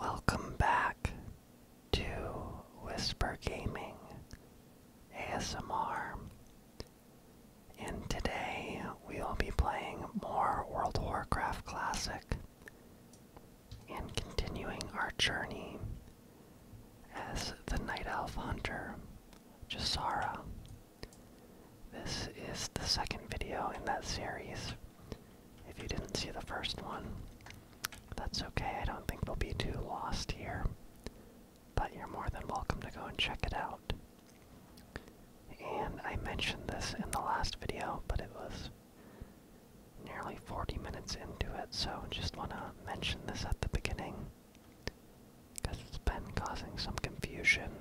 Welcome back to Whisper Gaming ASMR. And today we will be playing more World of Warcraft Classic and continuing our journey as the Night Elf Hunter, Jasara. This is the second video in that series, if you didn't see the first one, that's okay. I don't think we will be too lost here. But you're more than welcome to go and check it out. And I mentioned this in the last video, but it was nearly 40 minutes into it, so just want to mention this at the beginning because it's been causing some confusion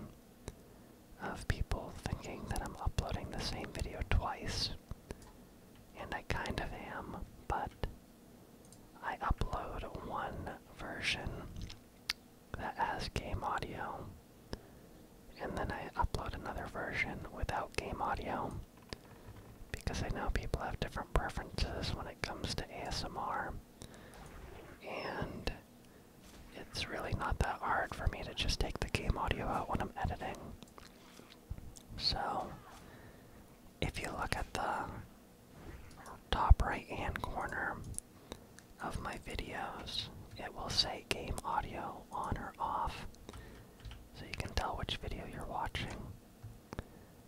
of people thinking that I'm uploading the same video twice and I kind of am, but I upload one version that has game audio, and then I upload another version without game audio because I know people have different preferences when it comes to ASMR, and it's really not that hard for me to just take the game audio out when I'm editing. So, if you look at the top right hand corner of my videos, it will say game audio on or off, so you can tell which video you're watching.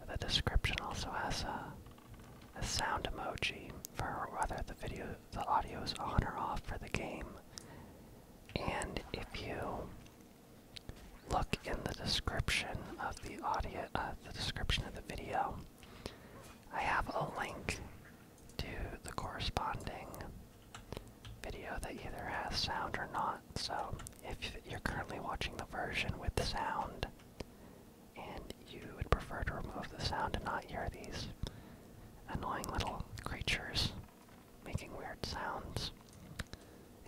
The description also has a, a sound emoji for whether the video the audio is on or off for the game and if you look in the description of the audio, uh, the description of the video, I have a link to the corresponding video that either has sound or not. So if you're currently watching the version with sound and you would prefer to remove the sound and not hear these annoying little creatures making weird sounds.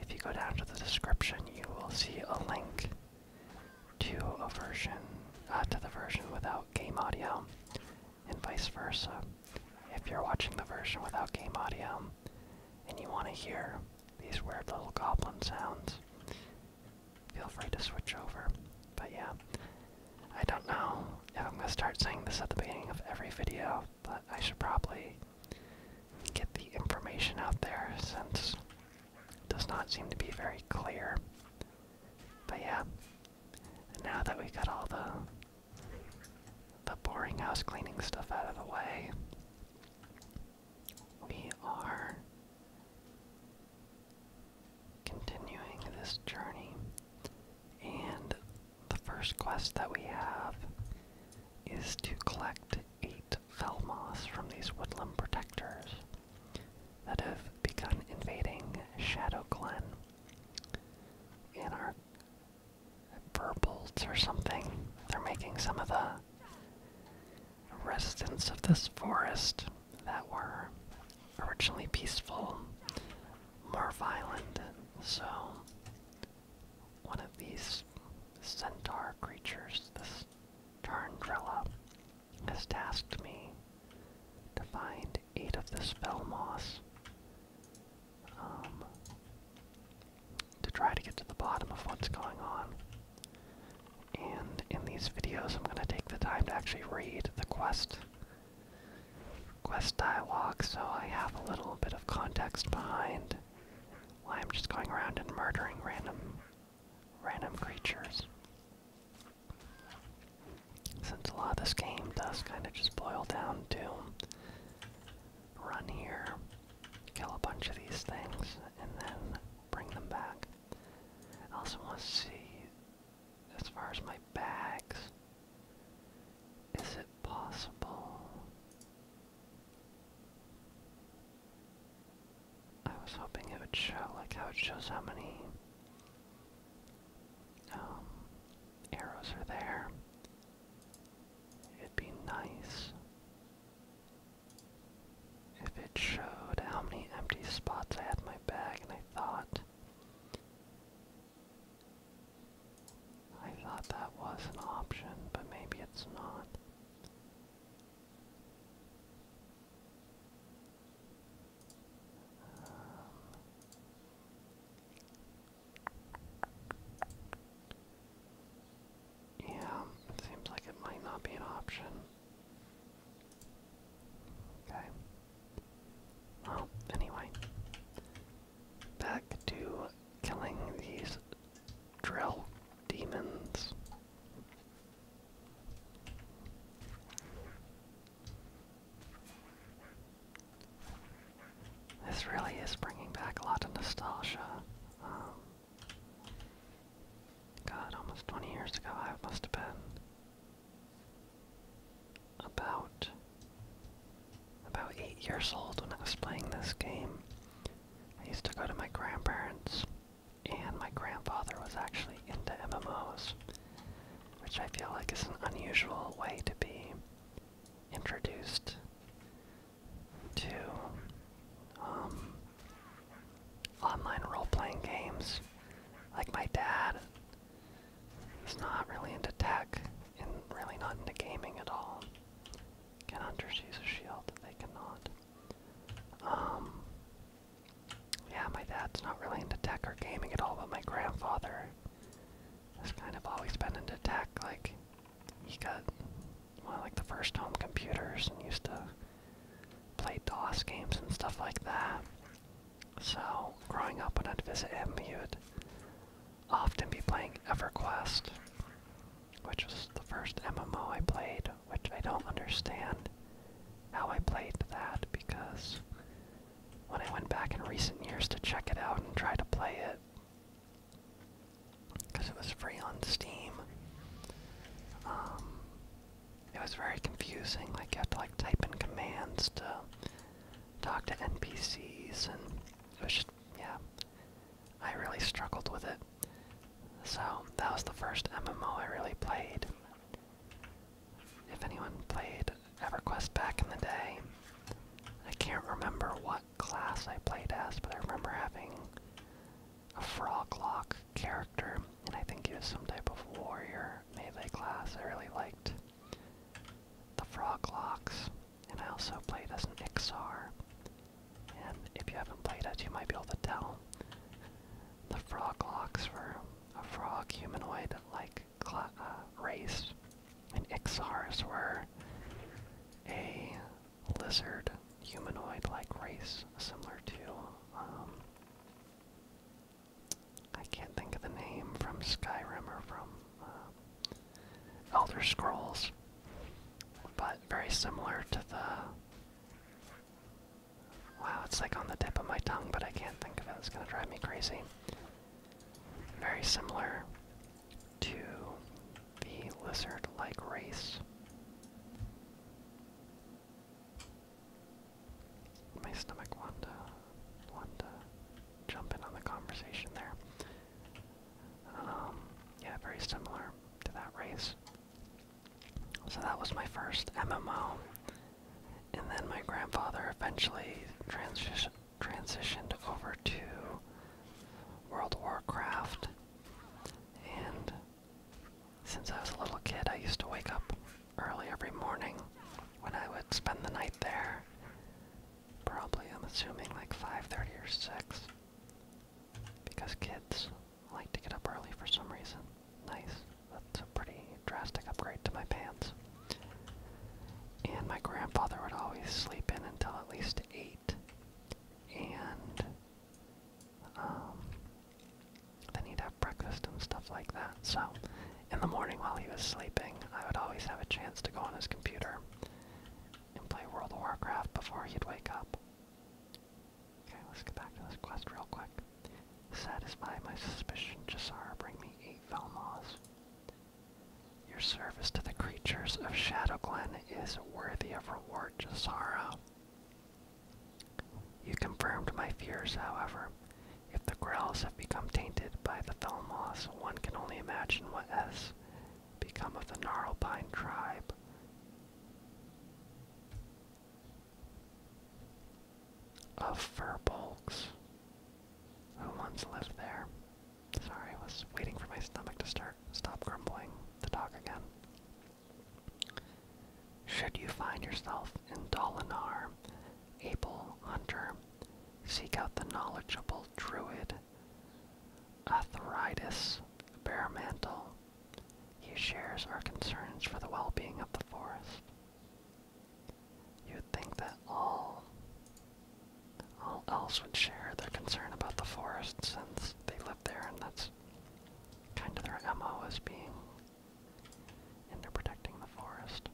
If you go down to the description, you will see a link to a version, uh, to the version without game audio, and vice versa. If you're watching the version without game audio and you want to hear these weird little goblin sounds, feel free to switch over. But yeah, I don't know I'm going to start saying this at the beginning of every video but I should probably get the information out there since it does not seem to be very clear. But yeah, now that we have got all the the boring house cleaning stuff out of the way, we are continuing this journey. And the first quest that we have is to collect eight Felmoths from these woodland protectors that have begun invading Shadow Glen. And our Burbolts or something, they're making some of the residents of this forest that were originally peaceful more violent. So one of these centaur creatures, this Tarndrella, has tasked me to find eight of the spell moss um, to try to get to the bottom of what's going on. And in these videos, I'm going to take the time to actually read the quest quest I so I have a little bit of context behind why I'm just going around and murdering random random creatures. Since a lot of this game does kind of just boil down to run here, kill a bunch of these things, and then bring them back. I also want to see as far as my bags. Is it possible? I was hoping it would show like how it shows how many um, arrows are there. It'd be nice if it showed how many empty spots I had in my bag, and I thought I thought that was an option, but maybe it's not. Um, yeah, it seems like it might not be an option. Okay. Well, anyway, back to killing these drill demons. This really is bringing back a lot of nostalgia. Um, God, almost 20 years ago I must have been about about eight years old when I was playing this game. I used to go to my grandparents, and my grandfather was actually into MMOs, which I feel like is an unusual way to be introduced to um, online role-playing games. Like my dad is not really into tech and really not into gaming at all. Can hunters use a shield? They cannot. Um, yeah, my dad's not really into tech or gaming at all, but my grandfather has kind of always been into tech. Like, he got well, like the first home computers and used to play DOS games and stuff like that. So, growing up when I'd visit him, he would often be playing EverQuest, which was the first MMO I played, which I don't understand how I played that because when I went back in recent years to check it out and try to play it, because it was free on Steam, um, it was very confusing. Like you had to like type in commands to talk to NPCs and was yeah, I really struggled with it. So that was the first MMO I really played. If anyone played EverQuest back in the day, I can't remember what class I played as, but I remember having a froglock character, and I think he was some type of warrior melee class I really liked the Frog Locks, and I also played as an Ixar. And if you haven't played it, you might be able to tell. The Frog Locks were a frog humanoid like uh, race, and Ixars were a lizard humanoid like race, similar to. Um, I can't think of the name from Skyrim or from uh, Elder Scrolls, but very similar to the. Wow, it's like on the tip of my tongue, but I can't think of it. It's gonna drive me crazy. Very similar to the lizard like race. My stomach won't wanted to jump in on the conversation there. Um, yeah, very similar to that race. So that was my first MMO. And then my grandfather eventually transitioned over to World Warcraft. And since I was a little kid, I used to wake up early every morning when I would spend the night there. Probably, I'm assuming, like 5.30 or 6. Because kids like to get up early for some reason. Nice. That's a pretty drastic upgrade to my pants. And my grandfather would always sleep in until at least 8. And um, then he'd have breakfast and stuff like that. So in the morning while he was sleeping, I would always have a chance to go on his computer and play World of Warcraft before he'd wake up. Okay, let's get back to this quest real quick. Satisfy my suspicion, Jasara, bring me eight Velmoths. Your service to the creatures of Shadow is worthy of reward, Jasara. You confirmed my fears, however. If the Grells become tainted by the fell moss, one can only imagine what has become of the gnarled pine tribe. Of fir who once lived there. Sorry, I was waiting for my stomach to start stop grumbling to talk again. Should you find yourself in Dolinar, Abel Hunter Seek out the knowledgeable druid, Atheritis Baremantle. He shares our concerns for the well-being of the forest. You'd think that all, all else would share their concern about the forest since they live there and that's kind of their MO as being in into protecting the forest.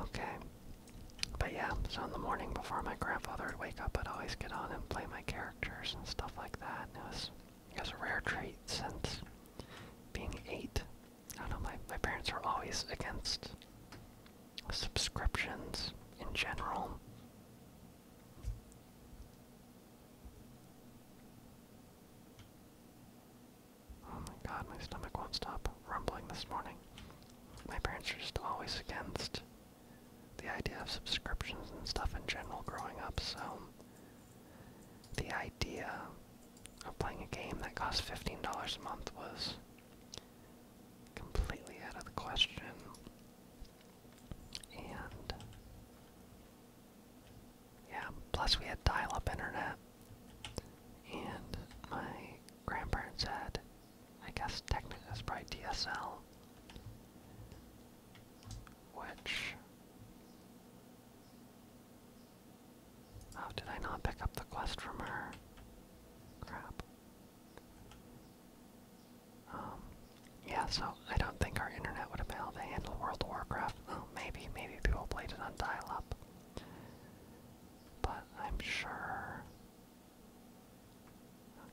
Okay. But yeah, so in the morning before my grandfather would wake up, I'd always get on and play my characters and stuff like that. And it was, it was a rare treat since being eight. I don't know, my, my parents were always against subscriptions in general. Oh my god, my stomach won't stop rumbling this morning. My parents are just always against the idea of subscriptions and stuff in general growing up, so the idea of playing a game that costs $15 a month was completely out of the question. And yeah, plus we had dial-up internet. And my grandparents had, I guess technically that's probably DSL, which. Oh, did I not pick up the quest from her? Crap. Um, yeah, so I don't think our internet would have able to handle World of Warcraft. Oh, maybe, maybe people played it on dial-up. But I'm sure.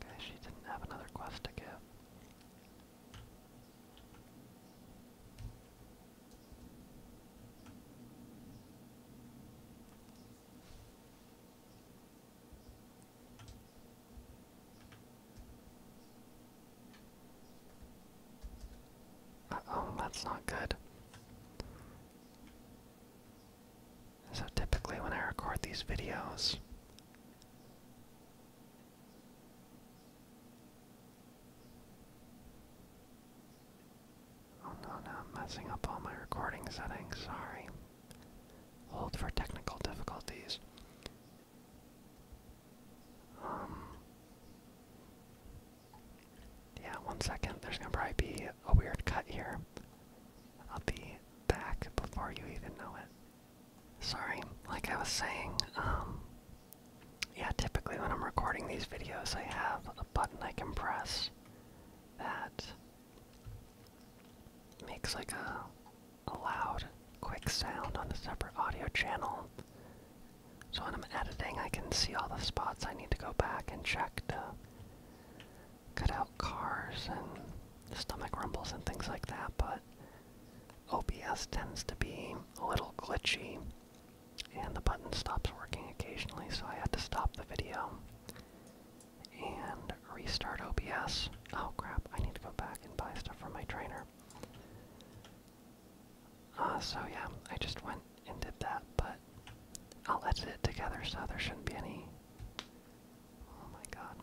Okay, she didn't have another quest to give oh that's not good. So typically when I record these videos, oh I'm messing up all my recording settings, sorry. Hold for technical difficulties. Um, yeah, one second. There's gonna probably be a weird cut here. I'll be back before you even know it. Sorry, like I was saying, um, yeah, typically when I'm recording these videos, I have a button I can press that makes like a, a loud, quick sound on a separate audio channel. So when I'm editing, I can see all the spots I need to go back and check to cut out cars and stomach rumbles and things like that, but OBS tends to be a little glitchy and the button stops working occasionally, so I had to stop the video and restart OBS. Oh crap, I need to go back and buy stuff for my trainer. Uh, so yeah, I just went and did that, but I'll edit it together so there shouldn't be any. Oh my god.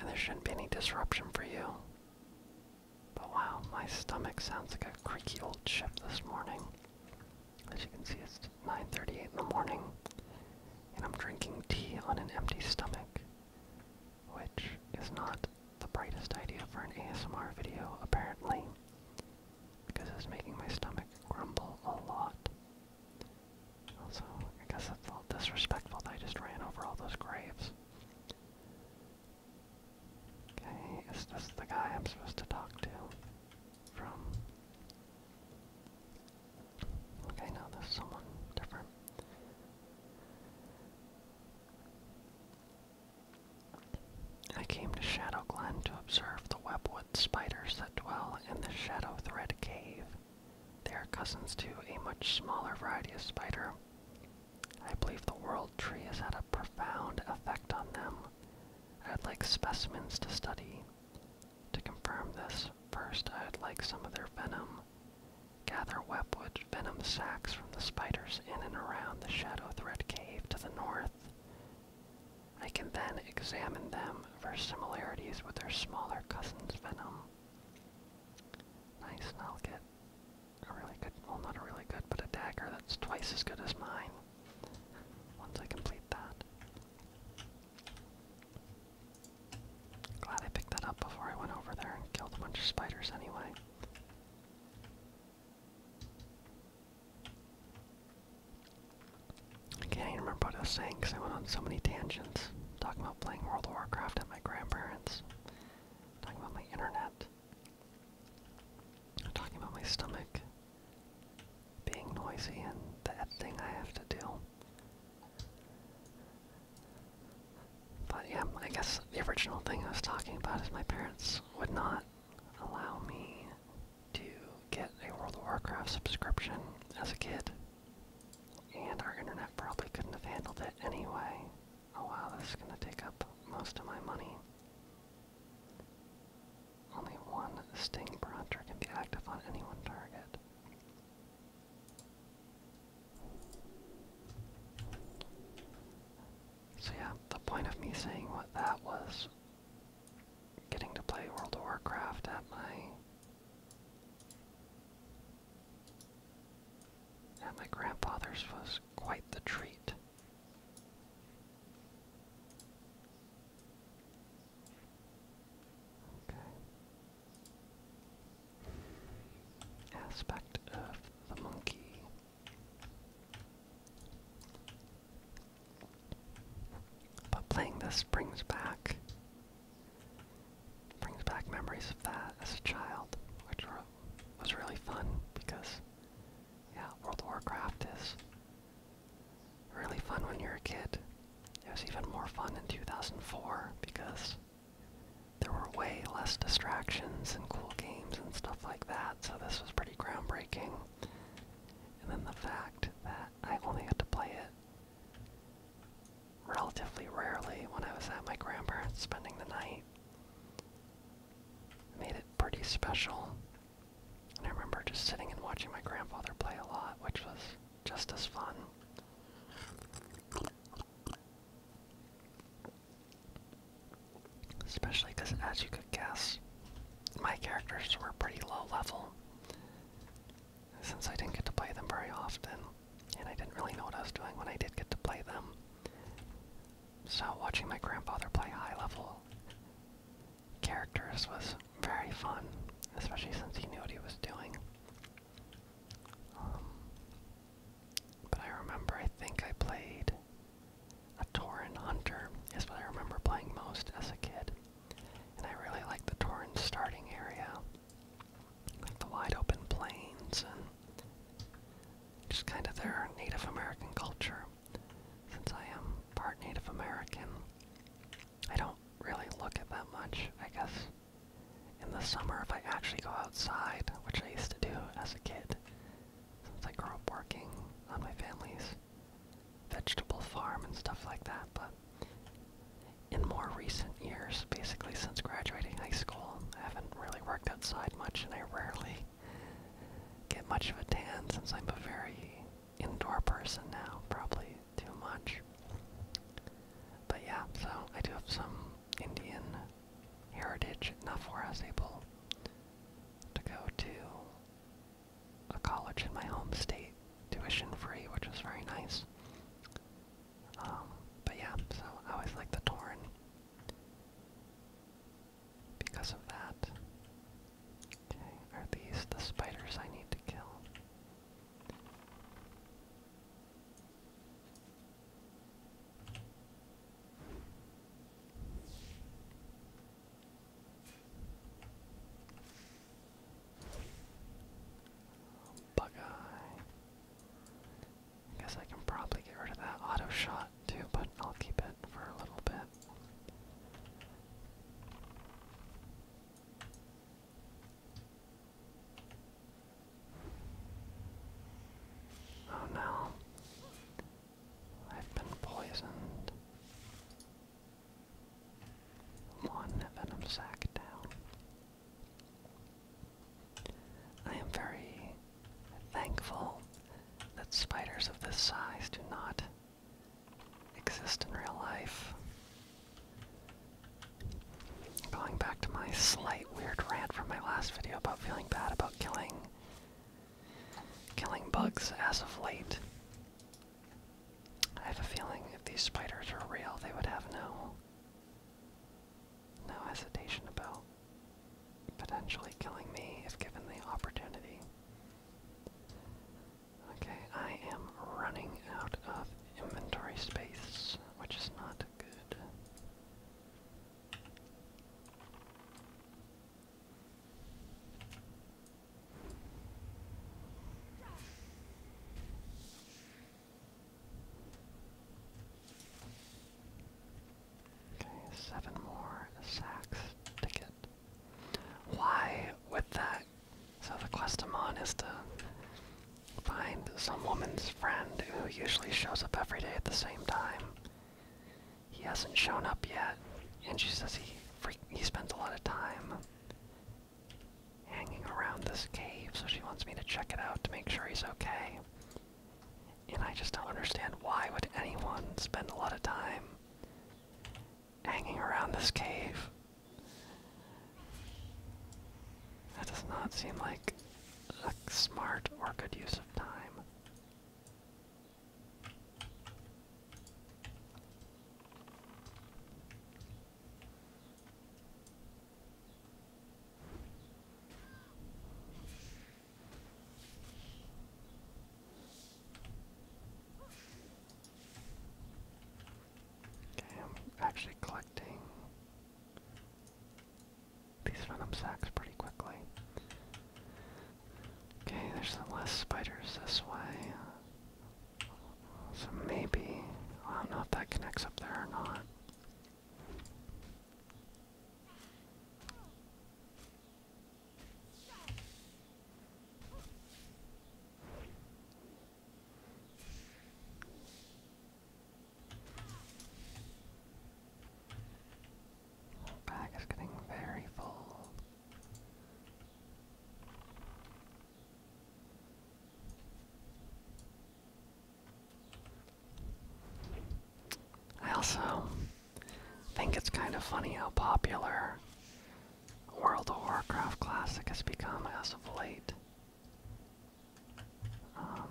And there shouldn't be any disruption for you. But wow, my stomach sounds like a creaky old ship this morning. As you can see, it's 9:38 in the morning, and I'm drinking tea on an empty stomach, which is not the brightest idea for an ASMR video, apparently, because it's making my stomach grumble a lot. Also, I guess I felt disrespectful that I just ran over all those graves. Okay, is this the guy I'm supposed to talk to? From. Okay, now there's someone different. I came to Shadow Glen to observe the webwood spiders that dwell in the Shadow Thread Cave. They are cousins to a much smaller variety of spider. I believe the world tree has had a profound effect on them. I'd like specimens to study. To confirm this, first I'd like some of their venom. Gather webwood venom sacs from the spiders in and around the Shadow thread Cave to the north. I can then examine them for similarities with their smaller cousin's venom. Nice, and I'll get a really good, well not a really good, but a dagger that's twice as good as mine once I complete that. Glad I picked that up before I went over there and killed a bunch of spiders anyway. I can't even remember what I was saying because I went on so many tangents. Talking about playing World of Warcraft at my grandparents. Talking about my internet. Talking about my stomach being noisy and that thing I have to do. But yeah, I guess the original thing I was talking about is my parents would not allow me to get a World of Warcraft subscription as a kid. And our internet probably couldn't have handled it anyway. Oh wow, this is gonna take up most of my money. Only one Sting per can be active on any one target. So yeah, the point of me saying what that was getting to play World of Warcraft at my at my grandfather's was quite the treat. Okay. Aspect of the monkey. But playing this brings back brings back memories of that as a child, which was really fun because yeah, World of Warcraft is really fun when you're a kid. It was even more fun in 2004 because there were way less distractions and cool games and stuff like that, so this was pretty pretty groundbreaking. And then the fact that I only got to play it relatively rarely when I was at my grandparents spending the night made it pretty special. And I remember just sitting and watching my grandfather play a lot, which was just as fun. Especially because, as you could guess, my characters were pretty low level. Since I didn't get to play them very often, and I didn't really know what I was doing when I did get to play them. So, watching my grandfather play high level characters was very fun, especially since he knew what he was doing. Um, but I remember, I think I played a Tauren Hunter is what I remember playing most as a kid. And I really like the Tauren starting area. Like the wide open plains and just kind of their Native American culture. Since I am part Native American, I don't really look at that much, I guess. In the summer, if I actually go outside, which I used to do as a kid, since I grew up working on my family's vegetable farm and stuff like that, but in more recent years, basically since graduating high school, I haven't really worked outside much and I rarely get much of a tan since I'm a very indoor person now, probably too much. But yeah, so I do have some Indian heritage, not for us able to go to a college in my home state, tuition free, which was very nice. Um, but yeah, so I always like the Torn because of that. Okay, are these the spiders I need to kill? Bug eye. I guess I can probably get rid of that auto shot too, but I'll keep it for a little bit. Oh no. I've been poisoned. One venom sac down. I am very thankful that spiders of this size do not exist in real life. Going back to my slight weird rant from my last video about feeling bad about killing killing bugs as of late. I have a feeling if these spiders were real, they would have no no hesitation about potentially killing me if given the opportunity. Okay, I am running out of inventory space, which is not good. Okay, seven more sacks to get. Why with that? So the quest is to find some woman's friend who usually shows up every day at the same time he hasn't shown up yet, and she says he freak he spends a lot of time hanging around this cave, so she wants me to check it out to make sure he's okay. And I just don't understand why would anyone spend a lot of time hanging around this cave. That does not seem like a smart or good use of time. Okay, I'm actually collecting these venom sacks pretty quickly. Okay, there's less spiders this way. So maybe, I don't know if that connects up there or not. Our bag is getting very full. I also think it's kind of funny how popular World of Warcraft Classic has become as of late. Um,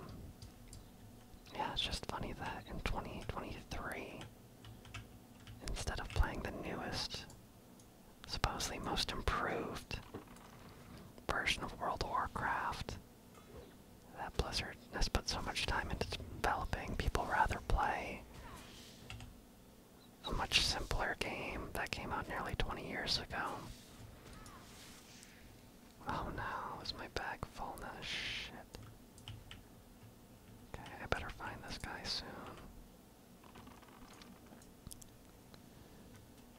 yeah, it's just funny that in 2023, instead of playing the newest, supposedly most improved version of World of Warcraft, that Blizzard has put so much time into developing, people rather play a much simpler game that came out nearly 20 years ago. Oh no, is my bag full now? Shit. Okay, I better find this guy soon.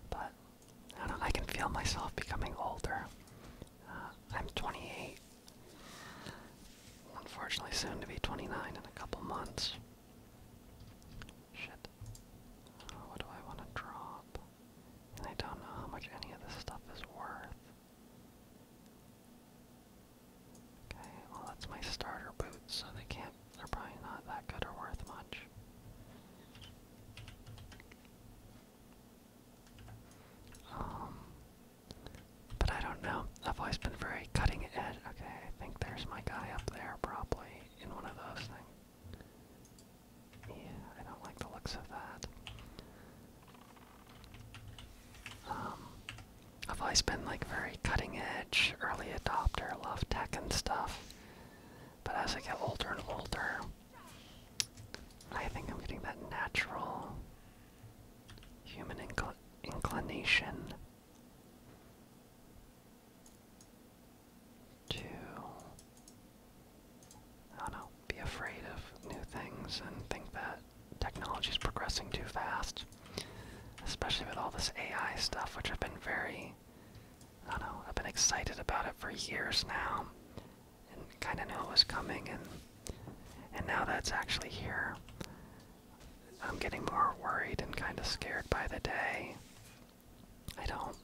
But I can feel myself becoming older. Uh, I'm 28. Unfortunately, soon to be 29 in a couple months. Shit. what do I want to drop? And I don't know how much any of this stuff is worth. Okay, well that's my starter boots, so they can't, they're probably not that good or worth much. Um, but I don't know, I've always been very cutting edge. Okay, I think there's my guy up there probably in one of those things. Yeah, I don't like the looks of that. Um, I've always been like very cutting edge, early adopter, love tech and stuff. But as I get older and older, I think I'm getting that natural human inclination to. I don't know know, be afraid of new things and think that technology is progressing too fast, especially with all this AI stuff, which I've been very, I don't know, I've been excited about it for years now, and kind of knew it was coming, and and now that's actually here. I'm getting more worried and kind of scared by the day. I don't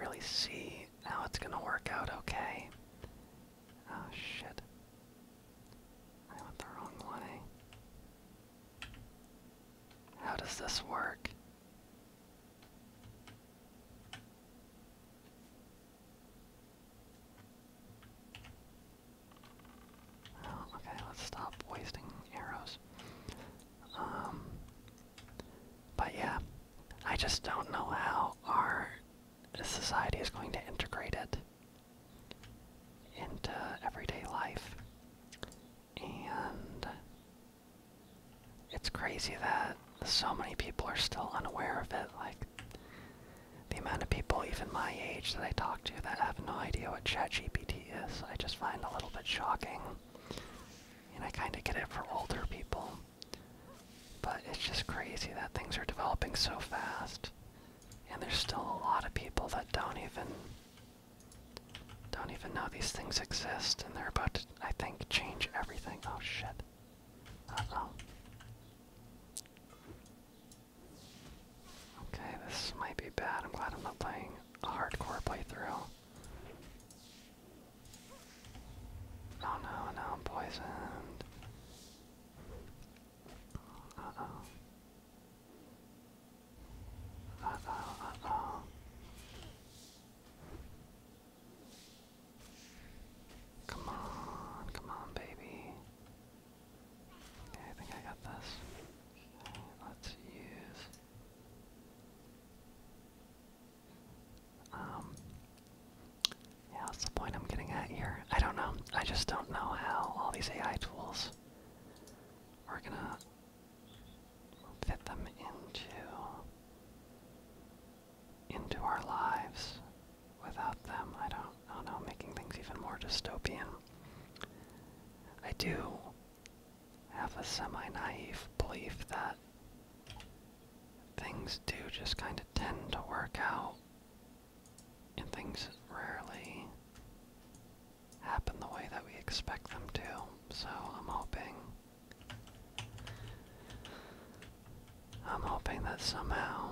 really see how it's gonna work out okay. Oh shit. I went the wrong one, How does this work? Oh, okay, let's stop wasting arrows. Um, but yeah, I just don't know how our the society is going to integrate it into everyday life. And it's crazy that so many people are still unaware of it. Like, the amount of people, even my age, that I talk to that have no idea what ChatGPT is, I just find a little bit shocking. And I kind of get it for older people. But it's just crazy that things are developing so fast. And there's still a lot of people that don't even don't even know these things exist and they're about to I think change everything. Oh shit. Uh oh. Okay, this might be bad. I'm glad I'm not playing a hardcore playthrough. Oh no, now poisoned. Come on, come on, baby. Okay, I think I got this. let's use um, yeah, that's the point I'm getting at here. I don't know. I just don't know how all these AI tools are gonna fit them into into our lives without them. I don't, I don't know, making things even more dystopian. I do have a semi-naive belief that things do just kind of tend to work out and things rarely happen the way that we expect them to. So I'm hoping I'm hoping that somehow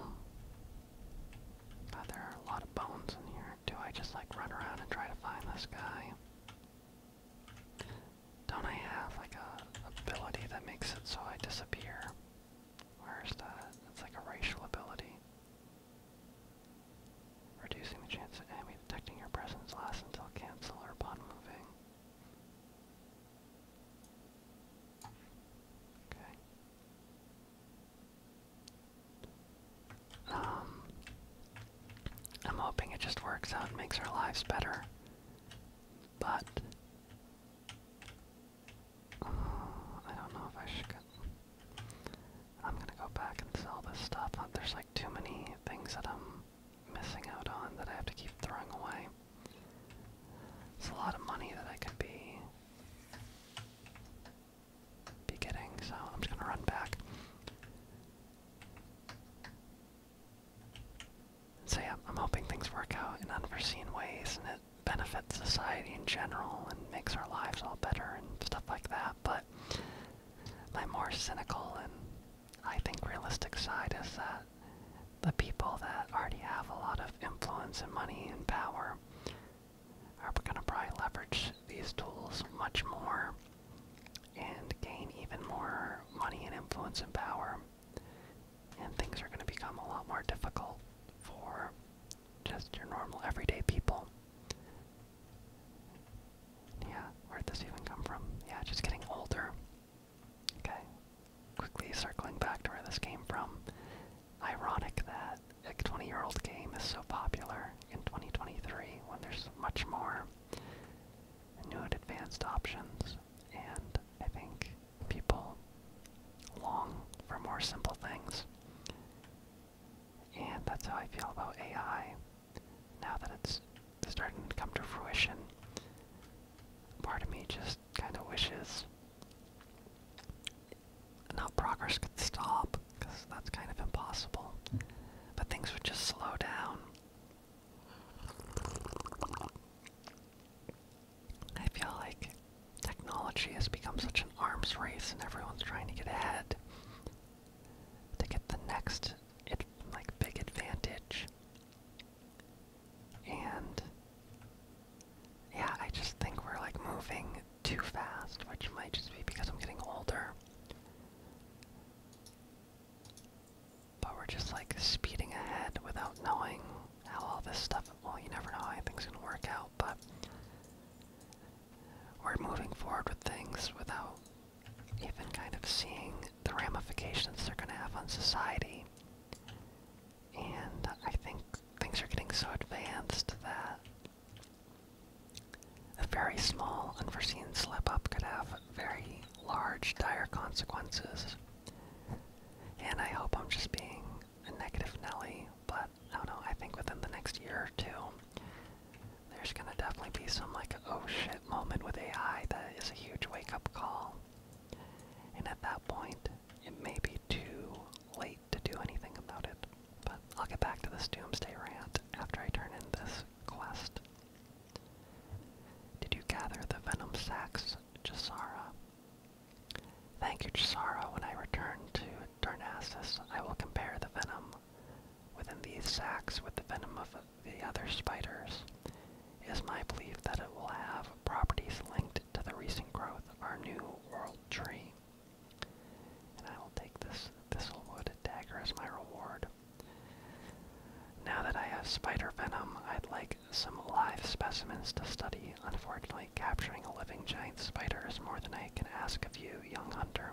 God, there are a lot of bones in here. Do I just like run around and try to find this guy? Don't I have like a ability that makes it so I disappear? Where is that? That's like a racial ability. Reducing the chance of enemy detecting your presence lasts until cancel or upon moving. Okay. Um, I'm hoping it just works out and makes our lives better. But uh, I don't know if I should get... I'm gonna go back and sell this stuff. Uh, there's like too many things that I'm missing out on that I have to keep throwing away. It's a lot of money that I could be be getting, so I'm just gonna run back. So yeah, I'm hoping things work out in unforeseen ways and it benefits society in general and makes our lives all better and stuff like that. But my more cynical and I think realistic side is that the people that already have a lot of influence and money and power are gonna probably leverage these tools much more and gain even more money and influence and power and things are going to become a lot more difficult for just your normal everyday people. Yeah, where'd this even come from? Yeah, just getting older. Okay, quickly circling back to where this came from. Ironic that a 20 year old game is so popular in 2023 when there's much more new advanced options and I think people long for more simple things. And that's how I feel about AI. Now that it's starting to come to fruition, part of me just kind of wishes now progress could stop, because that's kind of impossible, but things would just slow down. I feel like technology has become such an arms race and everyone's trying to get ahead to get the next like big advantage. And yeah, I just think we're like moving too fast, which might just be because I'm getting older. But we're just like speeding ahead without knowing how all this stuff, well, you never know how anything's going to work out, but we're moving forward with things without even kind of seeing the ramifications they're going to have on society. And I think things are getting so advanced that a very small, unforeseen slip up could have very large, dire consequences. And I hope I'm just being a negative Nelly, but I do I think within the next year or two, there's gonna definitely be some like oh shit moment with AI that is a huge wake up call. And at that point, it may be too late to do anything about it. But I'll get back to this doomsday rant after I turn in this quest. Did you gather the venom sacs, Jasara? Thank you, Chisara. When I return to Darnassus, I will compare the venom within these sacks with the venom of the other spiders. It is my belief that it will have properties linked to the recent growth of our new world tree. And I will take this thistlewood dagger as my reward. Now that I have spider venom, I'd like some live specimens to study. Unfortunately, capturing a living giant spider is more than I can ask of you, young hunter.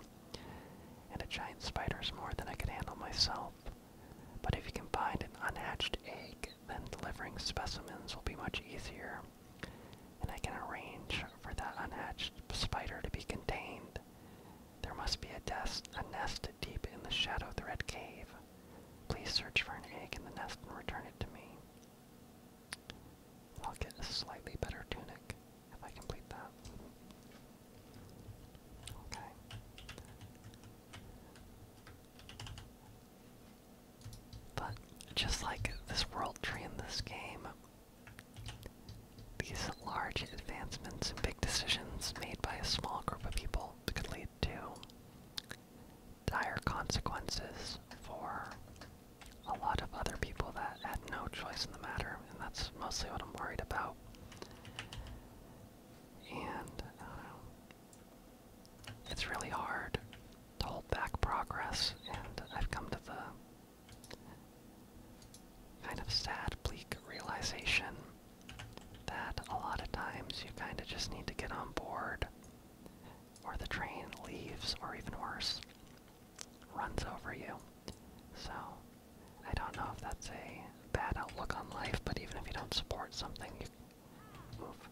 And a giant spider is more than I can handle myself. But if you can find an unhatched egg, then delivering specimens will be much easier. And I can arrange for that unhatched spider to be contained. There must be a, a nest deep in the Shadow Thread Cave. Please search for an egg in the nest and return it to me. I'll get a slightly better tunic if I complete that. Okay. But just like this world tree in this game, these large advancements and big decisions made by a small group of people could lead to dire consequences for a lot of other people that had no choice in the matter, and that's mostly what I'm worried about. And um, It's really hard to hold back progress, and I've come to the kind of sad, bleak realization that a lot of times you kind of just need to get on board or the train leaves, or even worse, runs over you. So, I don't know if that's a bad outlook on life, but even if you don't support something, you move.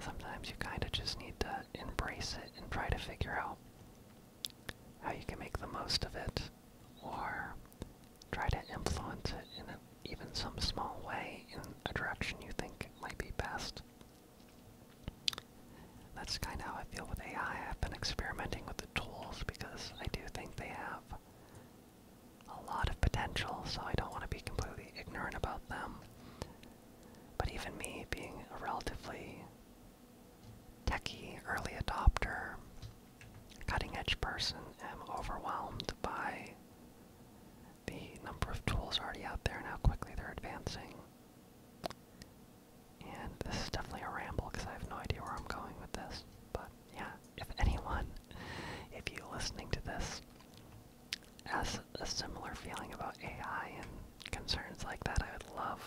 Sometimes you kind of just need to embrace it and try to figure out how you can make the most of it or try to influence it in a even some small way in a direction you think might be best. That's kind of how I feel with AI. I've been experimenting with the tools because I do think they have a lot of potential, so I don't want to be completely ignorant about them. But even me, being a relatively techy early adopter, cutting edge person, am overwhelmed by the number of tools already out there and how quickly they're advancing. And this is definitely a ramble because I have no idea where I'm going with this. But yeah, if anyone, if you listening to this, has a similar feeling about AI and concerns like that, I would love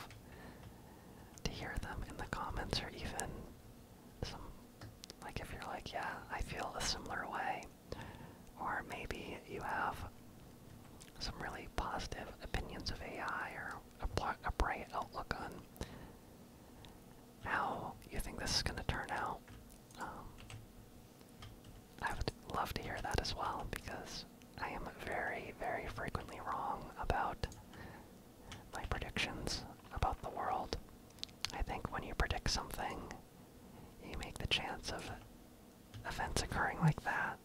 to hear them in the comments or even some, like if you're like, yeah, I feel a similar way, or maybe you have some really positive opinions of AI or a, bright outlook on how you think this is going to turn out. Um, I would love to hear that as well because I am very, very frequently wrong about my predictions about the world. I think when you predict something, you make the chance of events occurring like that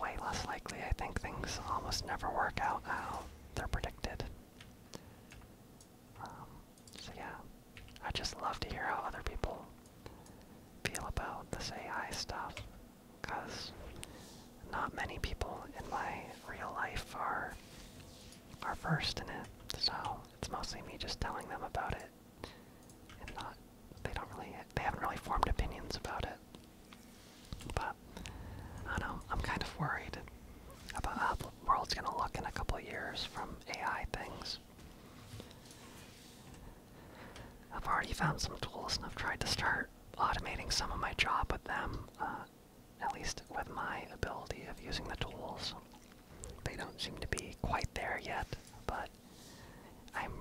way less likely. I think things almost never work out how they're predicted. Um, so yeah, I just love to hear how other people feel about this AI stuff, because not many people in my real life are are versed in it. So it's mostly me just telling them about it and not they don't really they haven't really formed opinions about it. But I don't know, I'm kind of worried about how the world's gonna look in a couple years from AI things. I've already found some tools and I've tried to start automating some of my job with them, uh, at least with my ability of using the tools. They don't seem to be quite there yet, but I'm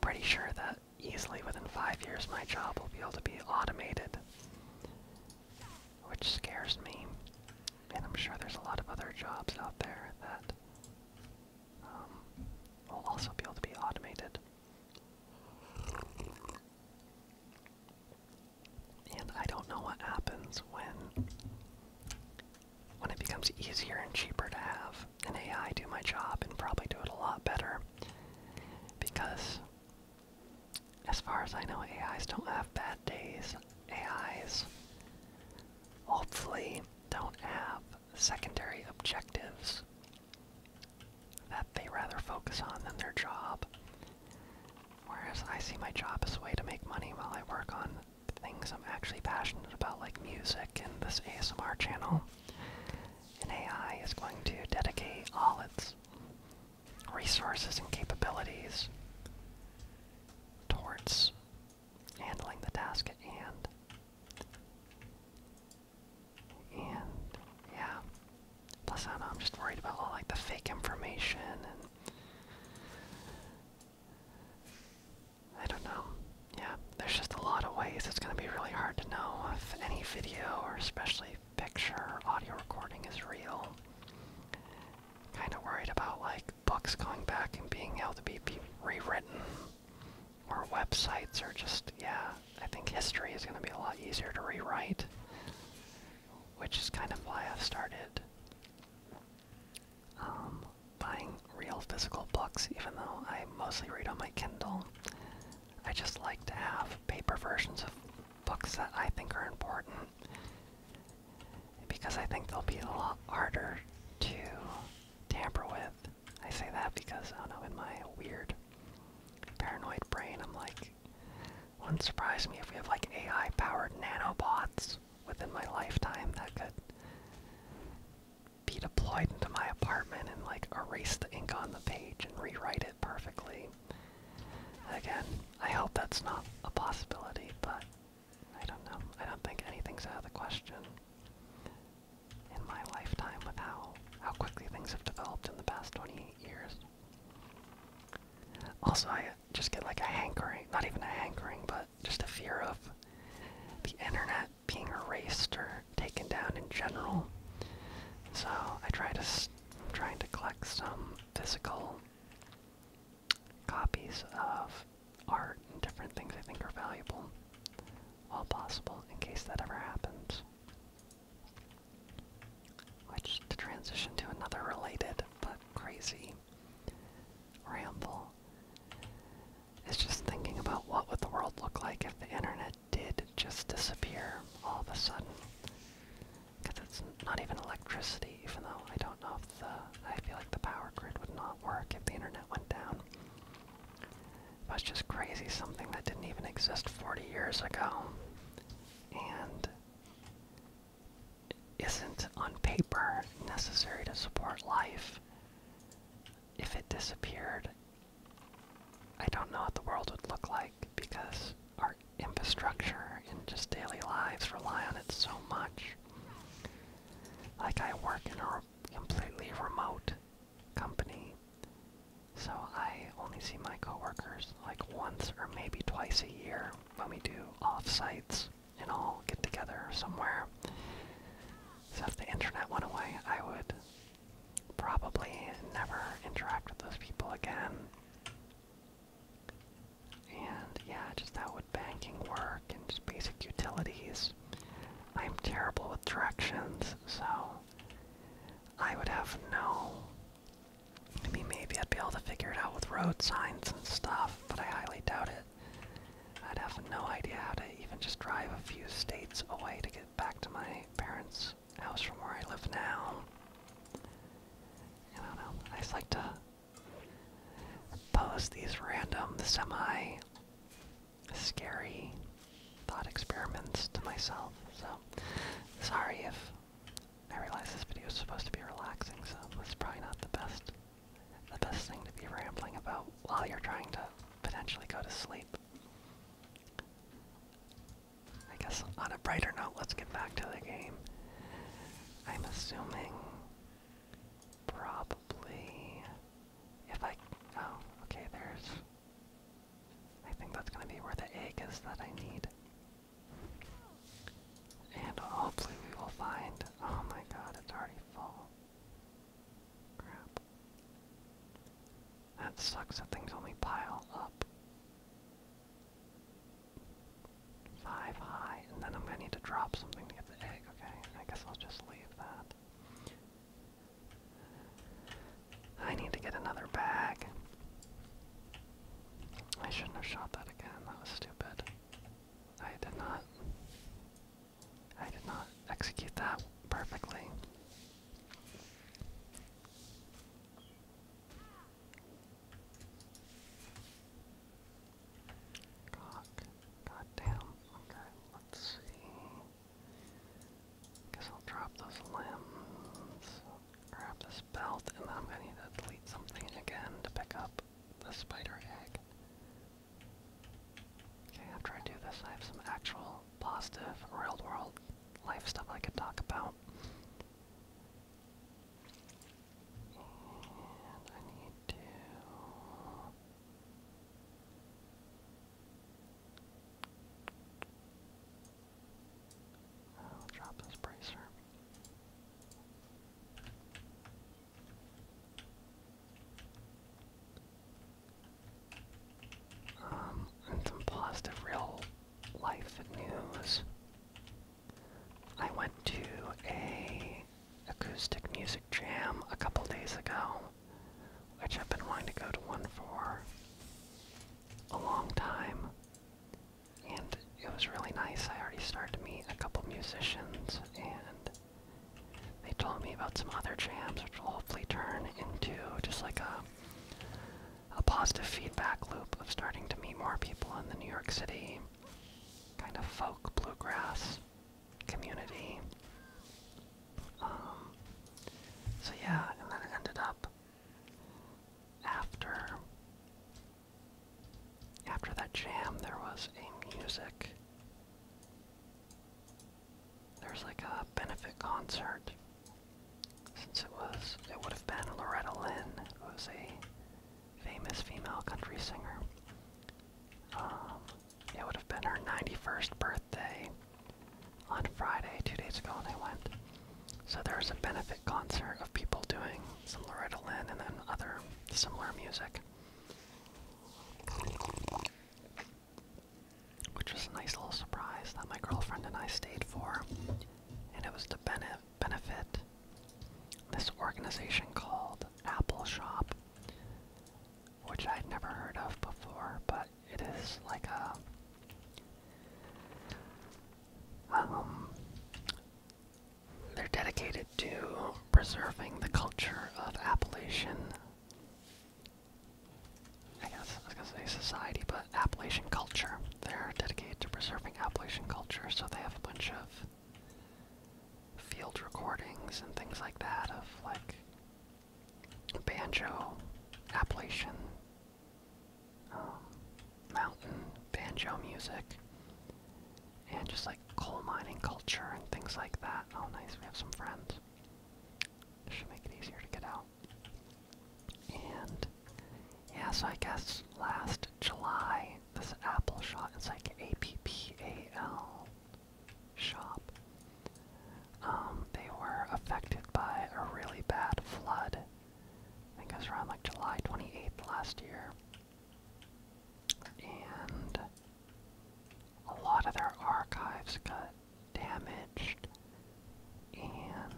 pretty sure that easily within five years my job will be able to be automated, which scares me. And I'm sure there's a lot of other jobs out there that um, will also be able to be automated. And I don't know what happens when when it becomes easier and cheaper to have an AI do my job and probably do it a lot better. Because, as far as I know, AIs don't have bad days. AIs hopefully don't have secondary objectives that they rather focus on than their job. Whereas I see my job as a way to make money while I work on things I'm actually passionate about, like music and this ASMR channel. And AI is going to dedicate all its resources and capabilities towards handling the task at hand. And yeah, plus I am just worried about all like the fake information and I don't know. Yeah, there's just a lot of ways. It's going to be really hard to know if any video or especially picture audio recording is real. Kind of worried about like books going back and being able to be rewritten or websites are just, yeah, I think history is going to be a lot easier to rewrite, which is kind of why I've started um, buying real physical books, even though I mostly read on my Kindle. I just like to have paper versions of books that I think are important because I think they'll be a lot harder to tamper with. I say that because, I don't know, in my weird paranoid brain, I'm like, wouldn't surprise me if we have like AI powered nanobots within my lifetime that could be deployed into my apartment and like erase the ink on the page and rewrite it perfectly. Again, I hope that's not a possibility, but I don't know. I don't think anything's out of the question in my lifetime with how how quickly things have developed in the past 28 years. Also, I just get like a hankering, not even a hankering, but just a fear of the internet being erased or taken down in general. So I try to I'm trying to collect some physical copies of art and different things I think are valuable, while possible, in case that ever happens. Which to transition to another related but crazy ramble is just thinking about what would the world look like if the internet did just disappear all of a sudden. Because it's not even electricity, even though I don't know if the. I feel like the power grid would not work if the internet went down. It was just crazy, something that didn't even exist 40 years ago. And isn't on paper necessary to support life. If it disappeared, I don't know what the world would look like because our infrastructure and just daily lives rely on it so much. Like, I work in a completely remote company, so I only see my coworkers like once or maybe twice a year when we do off sites and all get together somewhere. So if the internet went away, I would probably never interact with those people again. And yeah, just how would banking work and just basic utilities. I'm terrible with directions, so I would have no. I mean, maybe I'd be able to figure it out with road signs and stuff, but I highly doubt it. I'd have no idea how to even just drive a few states away to get back to my parents' house from where I live now. I just like to pose these random, semi scary thought experiments to myself. So, sorry if I realize this video is supposed to be relaxing, so it's probably not the best the best thing to be rambling about while you're trying to potentially go to sleep. I guess on a brighter note, let's get back to the game. I'm assuming probably if I oh okay there's I think that's gonna be where the egg is that I need. And hopefully we will find. Oh my god, it's already full. Crap. That sucks that things only pile up. Five high, and then I'm gonna need to drop something to get the egg, okay? I guess I'll just leave that. I need to get another bag. I shouldn't have shot that again, that was stupid. I did not. I did not execute that perfectly. God damn. Okay, let's see. Guess I'll drop those limbs. Grab this belt, and I'm gonna need to delete something again to pick up the spider egg. Okay, after I do this, I have some actual positive real world life stuff I could talk about. I need to. drop this bracer. Um, and some positive real life news. I went to a acoustic music jam a couple days ago, which I've been wanting to go to one for a long time and it was really nice. I already started to meet a couple musicians, and they told me about some other jams, which will hopefully turn into just like a, a positive feedback loop of starting to meet more people in the New York City kind of folk bluegrass community. Um, so yeah, and then it ended up after after that jam, there was a music. There was like a benefit concert. Since it was, it would have been Loretta Lynn, who is a famous female country singer. Um, it would have been her 91st birthday on Friday, two days ago, and they went. So there was a benefit concert of people doing some Loretta Lynn, and then other similar music. Which was a nice little surprise that my girlfriend and I stayed for, and it was to bene benefit this organization called Apple Shop, which I'd never heard of before, but it is like a um, they're dedicated to preserving the culture of Appalachian. I guess I was gonna society, but Appalachian culture. They're dedicated to preserving Appalachian culture, so they have a bunch of field recordings and things like that of like banjo, Appalachian, um, mountain banjo music and just like coal mining culture and things like that. Oh, nice, we have some friends. This should make it easier to get out. And yeah, so I guess last July, this Apple shop, it's like A P P A L shop. Um, they were affected by a really bad flood. I think it was around like July 28th last year and a lot of their archives got damaged, and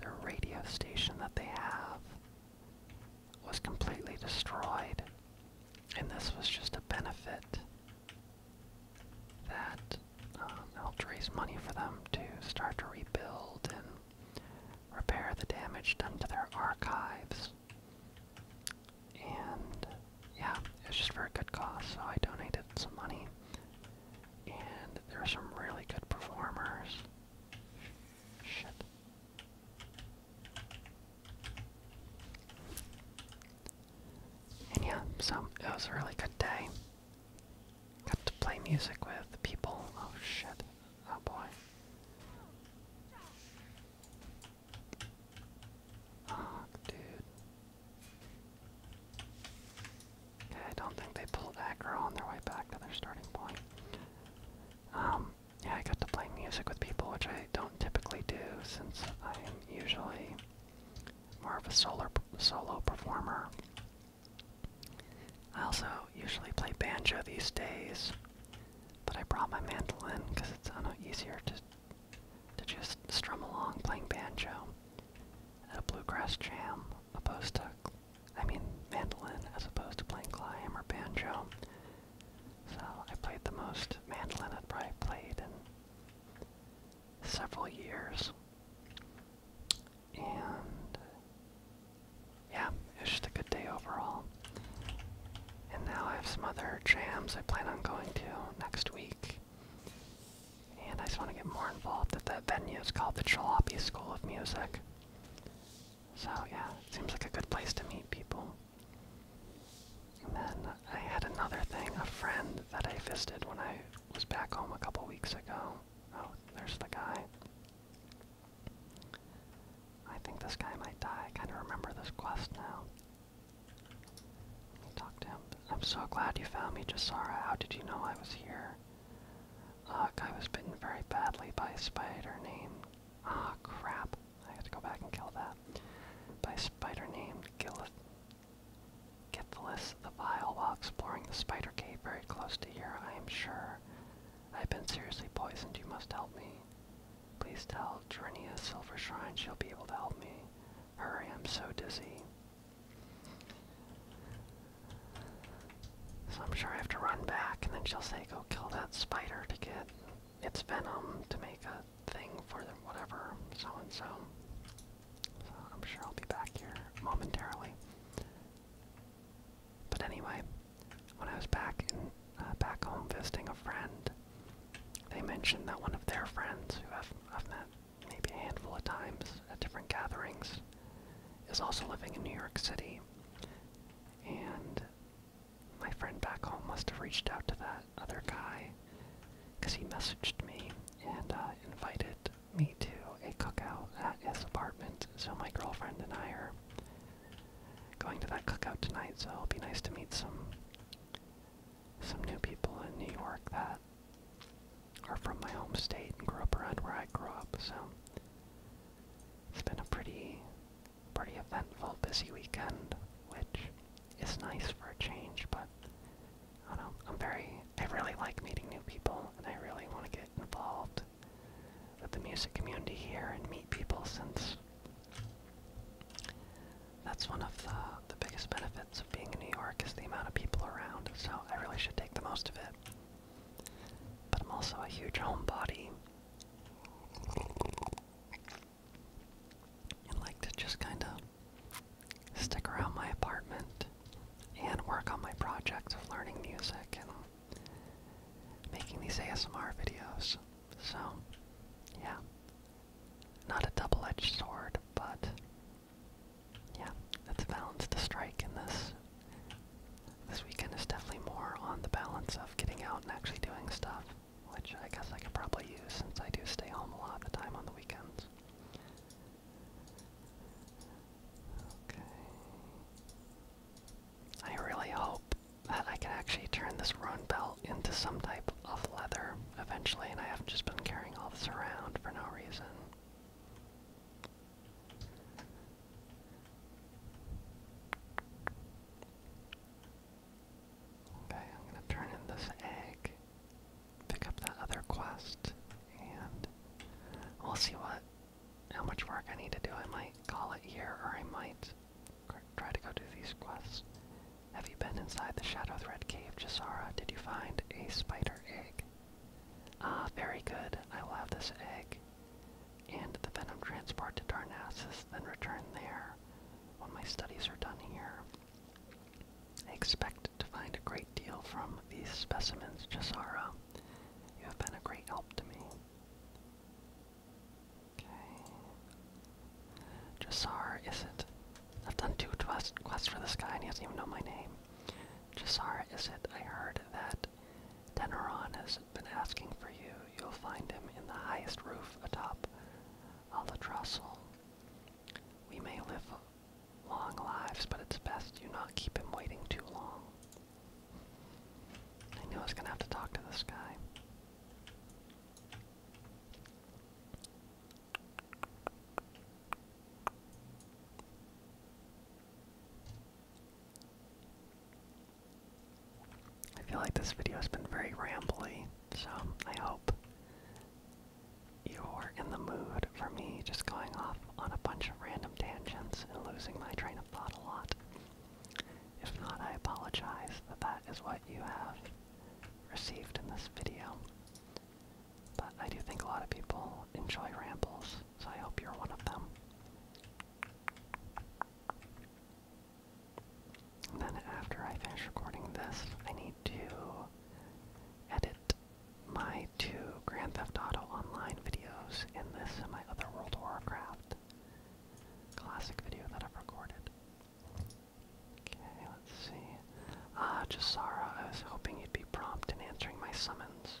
their radio station that they have was completely destroyed. And this was just a benefit that um, helped raise money for them to start to rebuild and repair the damage done to their archives. And yeah, it was just for a good cause, so I donated some money. And there were some really good performers. Shit. And yeah, so it was a really good day. Got to play music with people. Oh shit. Oh boy. Oh, dude. Okay, I don't think they pulled aggro on their way back to their starting point. Um, yeah, I got to play music with people, which I don't typically do since I am usually more of a solar, solo performer. I also usually play banjo these days, but I brought my mandolin because it's I know, easier to to just strum along playing banjo at a bluegrass jam, opposed to I mean mandolin as opposed to playing climb or banjo. So I played the most mandolin I've probably played in several years. And yeah, it's just a good day overall. And now I have some other jams I plan on going to next week. And I just want to get more involved at that venue. It's called the Jalopy School of Music. So yeah, it seems like a good place to meet people. And then I had another thing, a friend that I visited when I was back home a couple weeks ago. Oh, there's the guy. I think this guy might die. I kind of remember this quest now. Let me talk to him. I'm so glad you found me, Jasara. How did you know I was here? Look, I was bitten very badly by a spider named... Ah, crap. I have to go back and kill that. By a spider named Gilith... Githless the Vile while exploring the spider cave very close to here, I am sure. I've been seriously poisoned. You must help me. Please tell Trinia Silver Shrine she'll be able to help me. Hurry, I'm so dizzy. So I'm sure I have to run back, and then she'll say, go kill that spider to get its venom to make a thing for the whatever, so and so. So I'm sure I'll be back here momentarily. But anyway, when I was back in uh, back home visiting a friend, they mentioned that one of their friends, who I've, I've met maybe a handful of times at different gatherings, is also living in New York City. And my friend back home must have reached out to that other guy because he messaged me and uh, invited me to a cookout at his apartment. So my girlfriend and I are going to that cookout tonight, so it'll be nice to meet some some new people in New York that are from my home state and grew up around where I grew up. So it's been a pretty pretty eventful, busy weekend, which is nice for a change, but I don't know. I'm very I really like meeting new people and I really want to get involved with the music community here and meet people since that's one of the, the biggest benefits of being in New York is the amount of people around, so I really should take the most of it. But I'm also a huge homebody and like to just kind of stick around my apartment and work on my project of learning music and making these ASMR videos. So, yeah. Not a double edged sword, but yeah, it's balanced to strike in this. This weekend is definitely more on the balance of getting out and actually doing stuff, which I guess I could probably use since I do stay home a lot of the time on the weekends. Okay. I really hope that I can actually turn this rune belt into some type of leather eventually, and I have just been carrying all this around for no reason. Okay, I'm gonna turn in this egg, pick up that other quest, and we'll see what how much work I need to do. I might call it here, or I might try to go do these quests. Have you been inside the Shadow Thread Cave, Jisara? Did you find a spider egg? Ah, very good. I will have this egg and the venom transported to Darnassus, then return there when my studies are done here. I expect to find a great deal from these specimens, Jisara. You have been a great help to me. Okay. is Isit. I've done two quests for this guy and he doesn't even know my name. Jassar Isit, I heard that Deneron has been asking for you. You'll find him in the highest roof atop Albatrossel. We may live long lives, but it's best you not keep him waiting too long. I knew I was gonna have to talk to this guy. I feel like this video has been very rambly, so I hope you're in the mood for me just going off on a bunch of random tangents and losing my train of thought a lot. If not, I apologize that that is what you have received in this video. But I do think a lot of people enjoy rambles, so I hope you're one of them. then after I finish recording this, I need to edit my two Grand Theft Auto Online videos and this and my other World Warcraft classic video that I've recorded. Okay, let's see. Ah, uh, I was hoping you'd be prompt in answering my summons.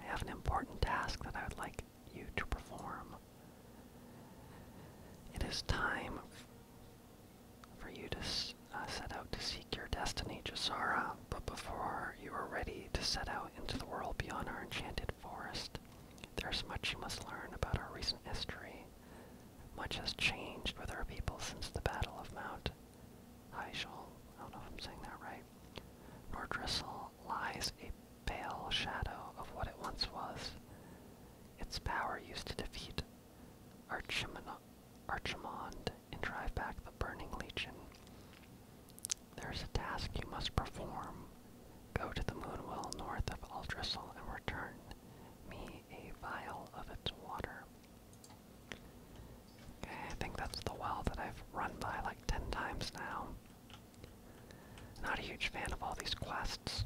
I have an important task that I would like you to perform. It is time for you to uh, set out to seek your destiny, Jasara, but before you are ready to set out into the world beyond our enchanted Forest, there's much you must learn about our recent history. Much has changed with our people since the Battle of Mount Hyjal, I don't know if I'm saying that right. Nordrissel lies a pale shadow of what it once was. Its power used to defeat Archimond and drive back the Burning Legion. There's a task you must perform. Go to the moon well north of Aldrissel and return me a vial of its water. Okay, I think that's the well that I've run by like ten times now. Not a huge fan of all these quests.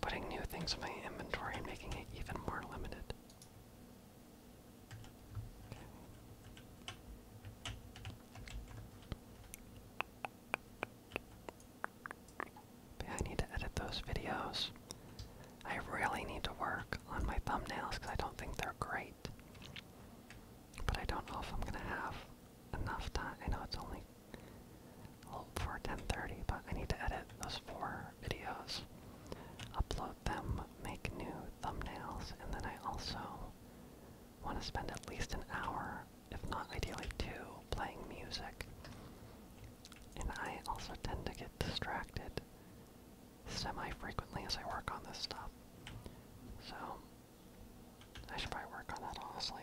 Putting new things in my inventory and making it even more limited. I need to edit those videos. I really need to work on my thumbnails because I don't think they're great. But I don't know if I'm gonna have enough time. I know it's only for 10:30, but I need to edit those four videos, upload them, make new thumbnails, and then I also want to spend at least an hour, if not ideally two, playing music. And I also tend to get distracted semi-frequently as I work on this stuff. So, I should probably work on that, honestly.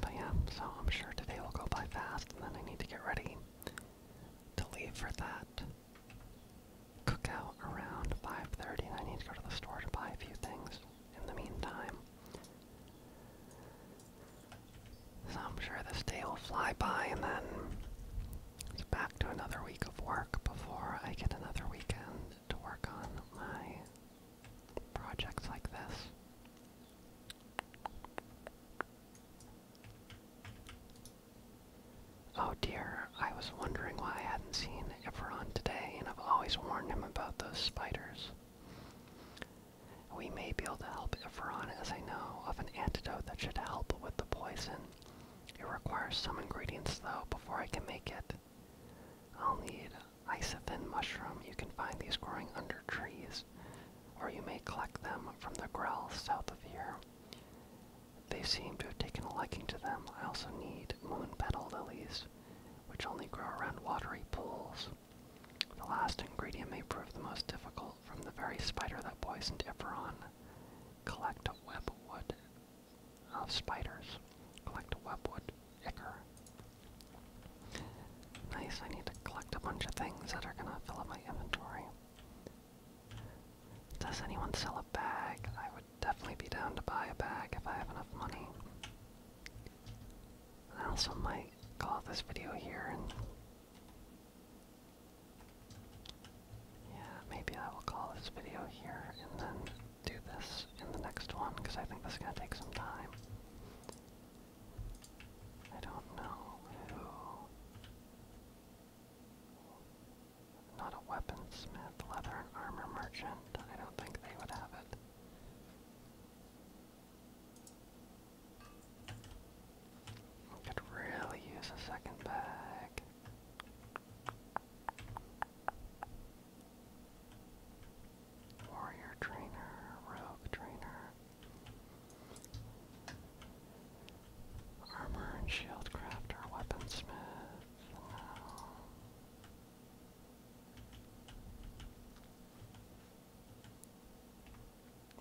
But yeah, so I'm sure today will go by fast, and then I need to get ready to leave for that cookout around 5:30, and I need to go to the store to buy a few things in the meantime. So I'm sure this day will fly by, and then it's back to another week of work before I get another weekend to work on my projects like this. Oh dear, I was wondering why I hadn't seen Everon today, and I've always warned him about those spiders. We may be able to help Everon, as I know, of an antidote that should help with the poison. It requires some ingredients, though, before I can make it. I'll need isophin mushroom. You can find these growing under trees, or you may collect them from the growls south of here. They seem to have taken a liking to them. I also need moon petal lilies, which only grow around watery pools. The last ingredient may prove the most difficult from the very spider that poisoned Eberron. Collect webwood of spiders. Collect web wood. Icker. Nice, I need to collect a bunch of things that are gonna fill up my inventory. Does anyone sell a bag? I would definitely be down to buy a bag if I have enough money. I also might call this video here Yeah, maybe I will call this video here and then do this in the next one because I think this is going to take some time. I don't know Not a weaponsmith, leather and armor merchant. I don't think they would have it. could really use a second bag. Warrior Trainer, Rogue Trainer, Armor and Shield Crafter, Weaponsmith, no.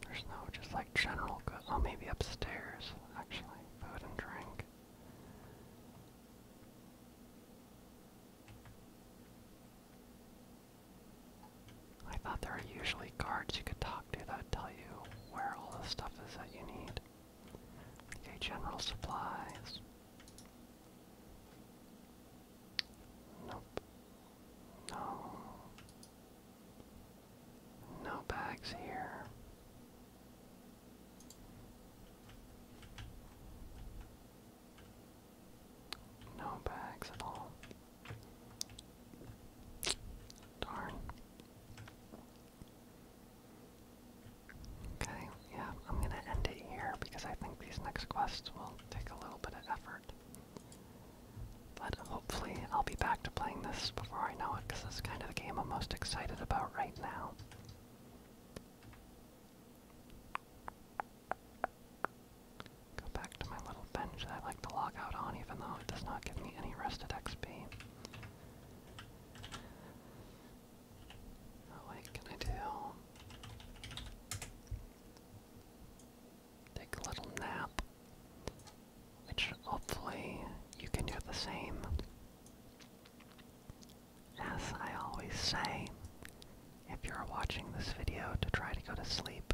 There's no just like general good. Oh, maybe upstairs, actually. Food and drink. I thought there are usually guards you could talk to that would tell you where all the stuff is that you need. Okay, general supplies. Nope. No. No bags here. No bags at all. Darn. Okay, yeah, I'm gonna end it here because I think these next quests will take a little bit of effort. But hopefully I'll be back to playing this before I know it because this is kind of the game I'm most excited about right now. Go back to my little bench I like to log out on, even though it does not give me any rested XP. Oh can I do? Take a little nap, which hopefully you can do the same. As I always say, if you're watching this video to try to go to sleep,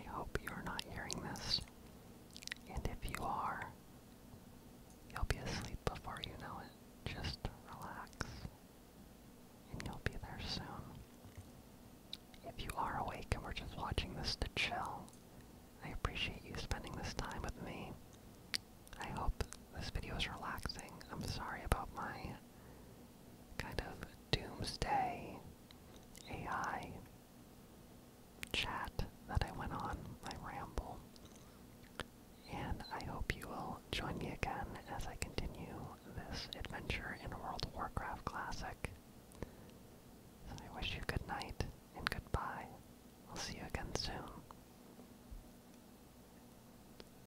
I hope you're not hearing this. And if you are, you'll be asleep before you know it. Just relax, and you'll be there soon. If you are awake and we're just watching this to chill, I appreciate you spending this time with me. I hope this video is relaxing. I'm sorry about my kind of doomsday AI chat that I went on, my ramble. And I hope you will join me again as I continue this adventure in World of Warcraft Classic. So I wish you good night and goodbye. I'll see you again soon.